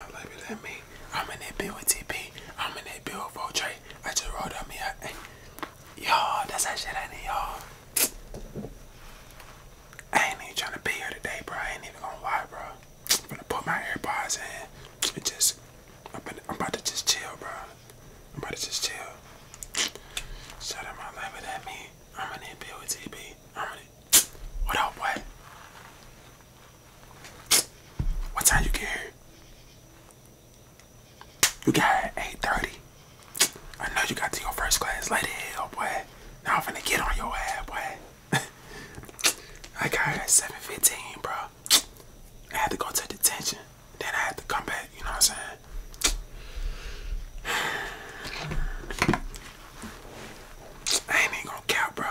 Baby, let me. I'm in that bit with TP. I'm in that bit with Voltray. I just rolled up me up. Eh, y'all, that's that shit I need, y'all. I ain't even trying to be here today, bro. I ain't even gonna lie, bro. I'm gonna put my AirPods in and just. I'm about, to, just chill, bro. I'm about to just chill. Shut up, my life with that me. I'm in that bit with TP. I'm in what up, boy? What time you get here? You got 8.30. I know you got to your first class late hell, boy. Now I'm finna get on your ass, boy. I got 7.15, bro. I had to go to detention. Then I had to come back, you know what I'm saying? ain't even going count, bro.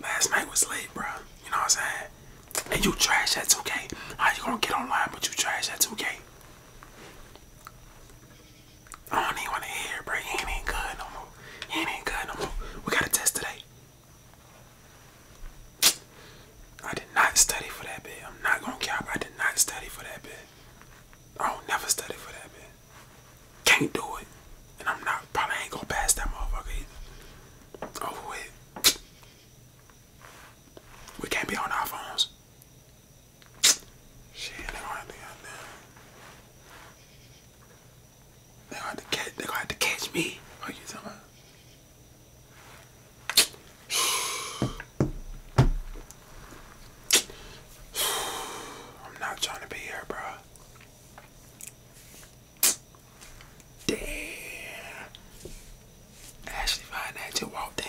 Last night was late, bro. You know what I'm saying? And you trash at 2K. How you gonna get online but you trash at 2K? I don't even wanna hear, bro. He ain't, good no more. He ain't, good no more. We got a test today. I did not study for that bit. I'm not gonna cap. I did not study for that bit. I do never study for that bit. Can't do it. And I'm not probably ain't gonna pass that motherfucker either. Over with. We can't be on our phones. Shit, they going gonna have to catch me. What are you talking about? I'm not trying to be here, bro. Damn. Ashley find that just walked in.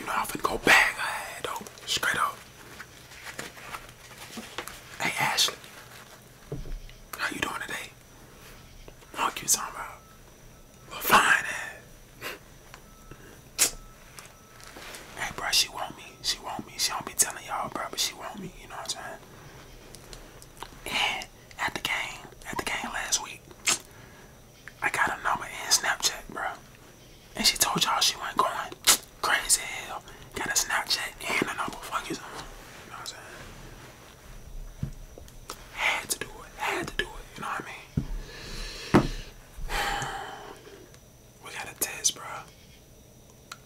You know I'm finna go back I ass though. Straight up. Hey Ashley. How you doing today? Fuck you talking about. Well fine ass. Hey bro, she want me me. She want me. She don't be telling y'all, bro, but she want me. You know what I'm saying? And at the game, at the game last week, I got her number in Snapchat, bro. And she told y'all she wasn't going. Crazy hell. Got a Snapchat and a number. Fuck you, someone. You know what I'm saying? Had to do it. Had to do it. You know what I mean? We got a test, bro.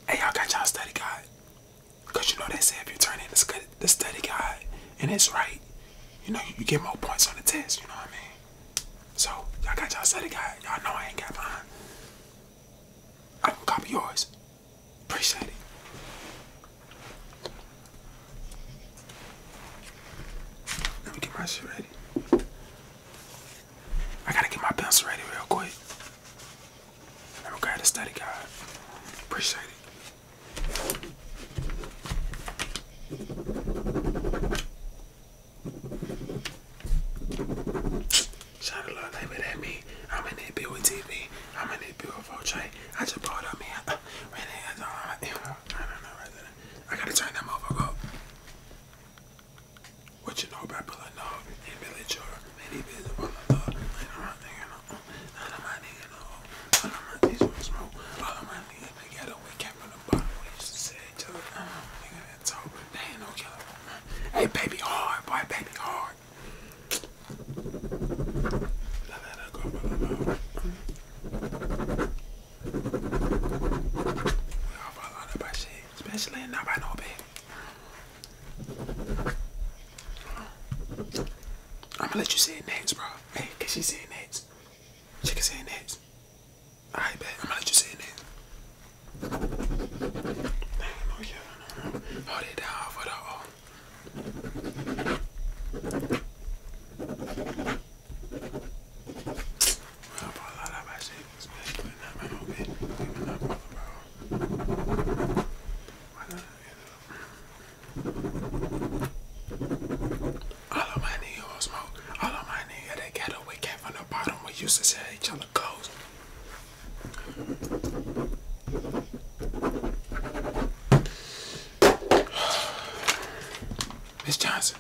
Hey, y'all got y'all study guide. Because you know they say if you turn in the study guide and it's right, you know, you get more points on the test, you know what I mean? So, y'all got y'all study guide. Y'all know I ain't got mine. I'm gonna copy yours. Appreciate it. Let me get my shit ready. I gotta get my pencil ready real quick. I'm grab the study guide. Appreciate it. Shout out they with at me. I'm in that bill with TV. I'm in that bill with Voltray. I just bought up man. I don't know. I gotta turn that motherfucker up. What you know about Billy Nog and Billy Joel? Many business on the dog. All my niggas know. All of my niggas know. All of my niggas want smoke. All of my niggas together. We came from the bottom. We used to say each other. I mm, don't nigga that's over. They ain't no killer. Man. Mm. Hey, baby, hard. Boy, baby, hard. La, la, la, go, la, la, la. We all fall out of our shit. Especially not by no baby. I'm gonna let you say it next, bro. Hey, can she say it She can say it next. bet. I'm gonna let you say it next. Oh, Hold it down the oh. All of my niggas smoke. All of my niggas that ghetto we came from the bottom. We used to sell each other clothes. Miss Johnson,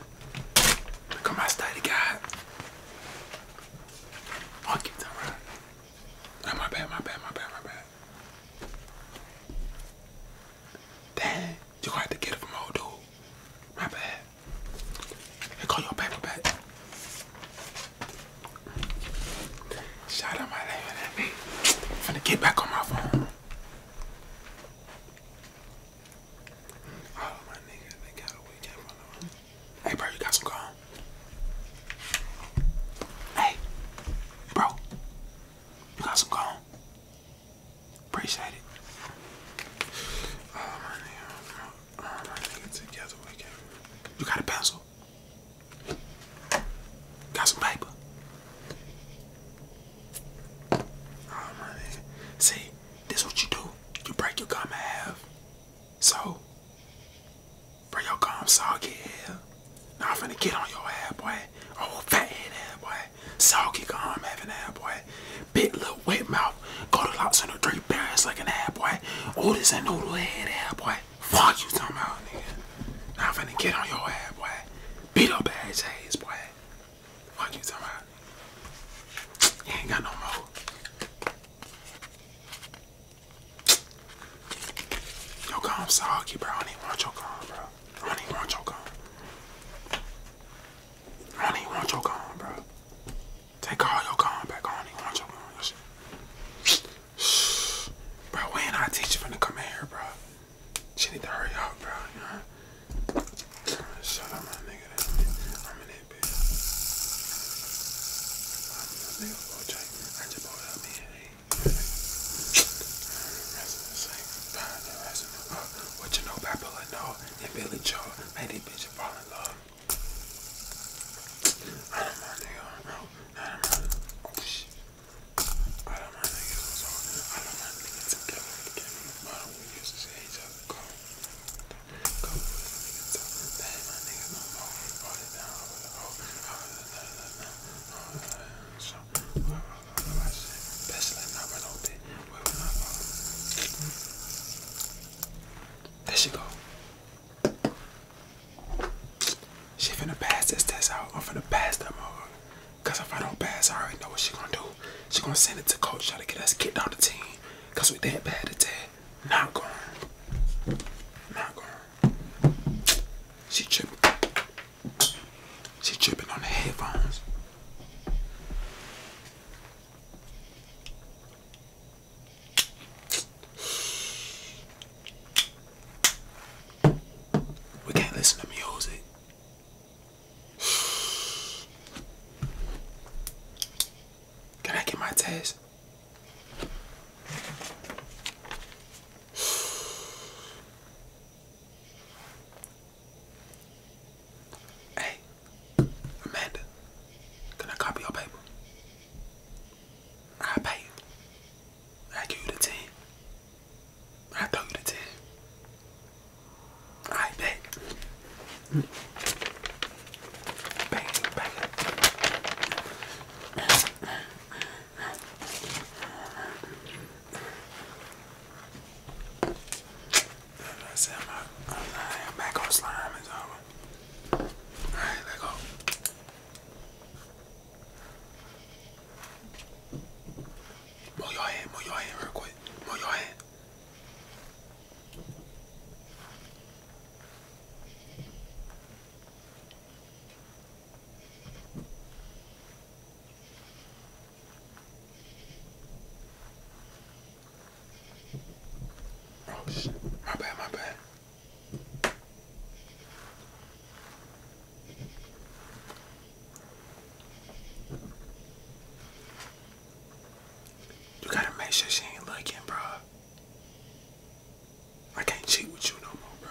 look at my study guide. I'll keep that right. Oh, my bad, my bad, my bad, my bad. Dang, you gonna get it from old dude. My bad. Hey, call your paper back. Shout out my name at me. I'm finna get back on my phone. All my niggas, they got a from the Hey, bro, you got some gum? Hey, bro, you got some gum? Appreciate it. Oh, my nigga, together we You got a pencil? Got some paper? See, this what you do. You break your gum half. So, bring your gum soggy here. Now I'm finna get on your ass, boy. Oh, fat head ass, boy. Soggy gum having ass, boy. Big little wet mouth. Go to lots of the three berries like an ass, boy. Oh, this ain't noodle head ass, boy. Fuck you talking about, nigga. Now I'm finna get on your ass, boy. Beat up ass ass, boy. Fuck you talking about. You ain't got no more. Yo, come, soggy, bro. I don't even want your gum, bro. Honey, want your gum. I do want your gum, bro. Take all your gum back. honey. don't even want your gum. Bro, when I teach you to come here, bro. She need to hurry up, bro. Shut up, my nigga. I'm a little boy, I just What you know about Billy No Billy Joe made these bitches in love. I don't mind I don't mind. Oh shit. I don't mind niggas. So I don't mind niggas together. There she go. She finna pass this test out. I'm finna pass that over. Cause if I don't pass, I already know what she gonna do. She gonna send it to coach, try to get us kicked on the team. Cause we that bad at that. Not gone. Not gone. She tripping. She tripping on the headphones. We can't listen to music. Can I get my test? Hey, Amanda, can I copy your paper? I pay I give you the ten. I throw you the ten. I bet. Bang, bang. I said my, I'm back on slime is over. Alright, let go. Move your hand, move your hand real quick. Move your hand. You gotta make sure she ain't looking, bro. I can't cheat with you no more, bro.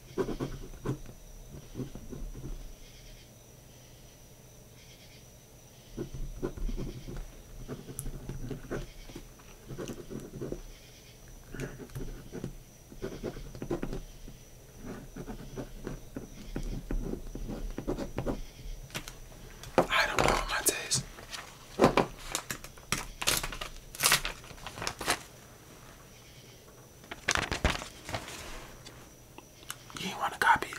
I don't know my taste. You want to copy it.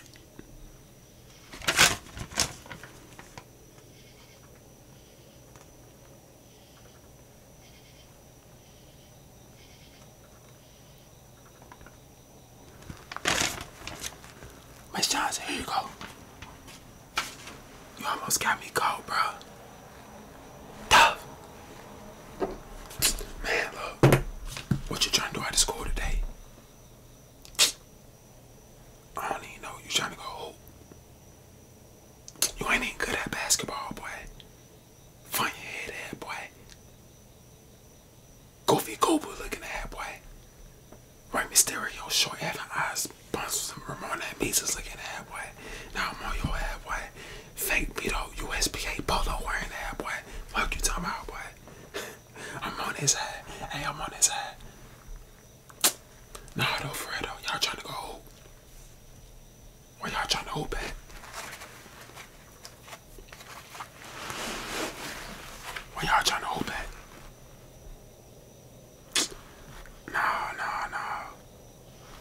Miss Johnson, here you go. You almost got me cold, Tough. Man, What you trying to do out of school today? I don't even know. You trying to go You ain't even good at basketball, boy. Find your head at, boy. Goofy Gobu looking at, boy. Right, Mysterio, short having eyes, sponsors, that Ramon is Mises looking at, boy. Now I'm on your head, boy fake Beto USPA polo wearing that boy. Fuck you talking about boy. I'm on his head. Hey, I'm on his head. Nah though, Fredo, y'all trying to go hoop. y'all trying to hoop at? Where y'all trying to hoop at? No, no, no.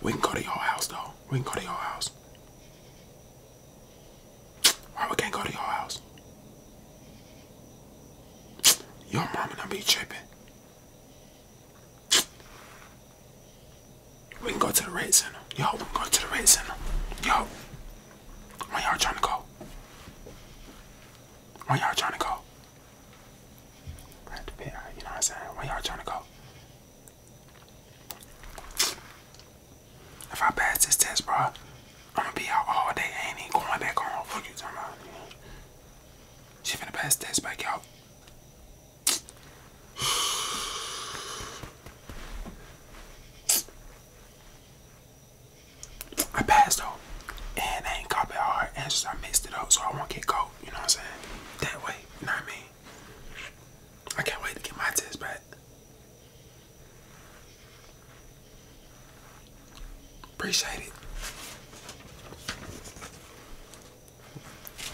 We can go to your house though we can go to your house. Why we can't go to your house? Your mama not be tripping. We can go to the red center. Yo, we can go to the red center. Yo, where y'all trying to go? Where y'all trying to go? You know what I'm saying? Where y'all trying to go? If I pass this test, bro, I'm gonna be out all day. I ain't even going back home. Fuck you talking about? She finna pass the test back out. I passed though, and I ain't copy hard answers. I mixed it up so I won't get cold. You know what I'm saying? That way, you know what I mean? I can't wait to get my test back. Appreciate it.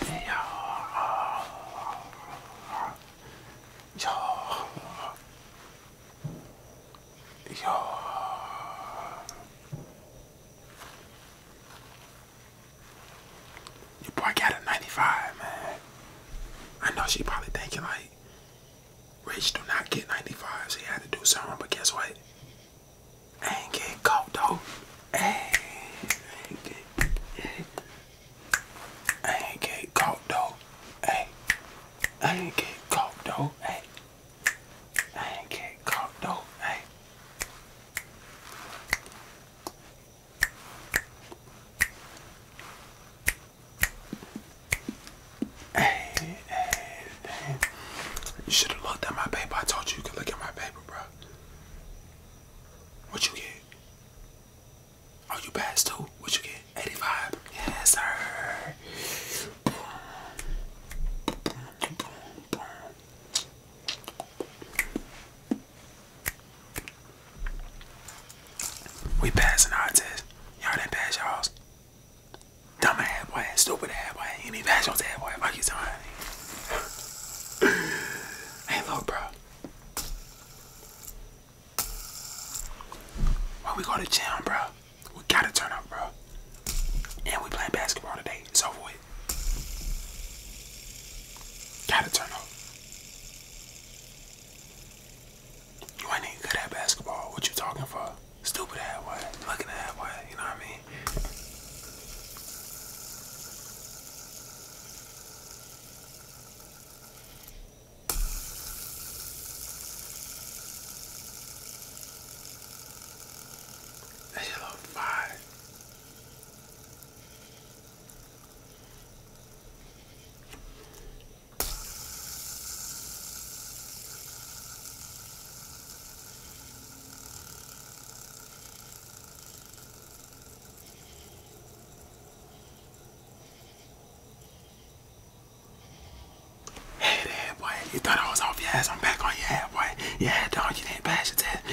Yo. Yo. Yo. Your boy got a 95, man. I know she probably thinking like, Rich do not get 95, so he had to do something, but guess what? I ain't getting caught though. ain't get, ain't get caught though. Hey, ain't get caught though. Hey, ain't get caught though. Hey, hey, hey. You should have looked at my paper. I told you you could look at my paper, bro. What you get? Are oh, you passed too? What you get? 85? Yes, sir. We passing our test. Y'all didn't pass y'all's. Dumb ass boy, stupid ass boy. You need to pass your ass boy. Fuck you, somebody. hey, look, bro. When we go to gym, bro, we gotta turn up, bro. And we playing basketball today it's over with. Gotta turn off. You ain't good at basketball. What you talking for? Stupid ass way. Looking that way. You know what I mean? That shit look fire. Hey there, boy. You thought I was off your ass. I'm back on your ass, boy. Yeah, dog, you didn't bash your ass.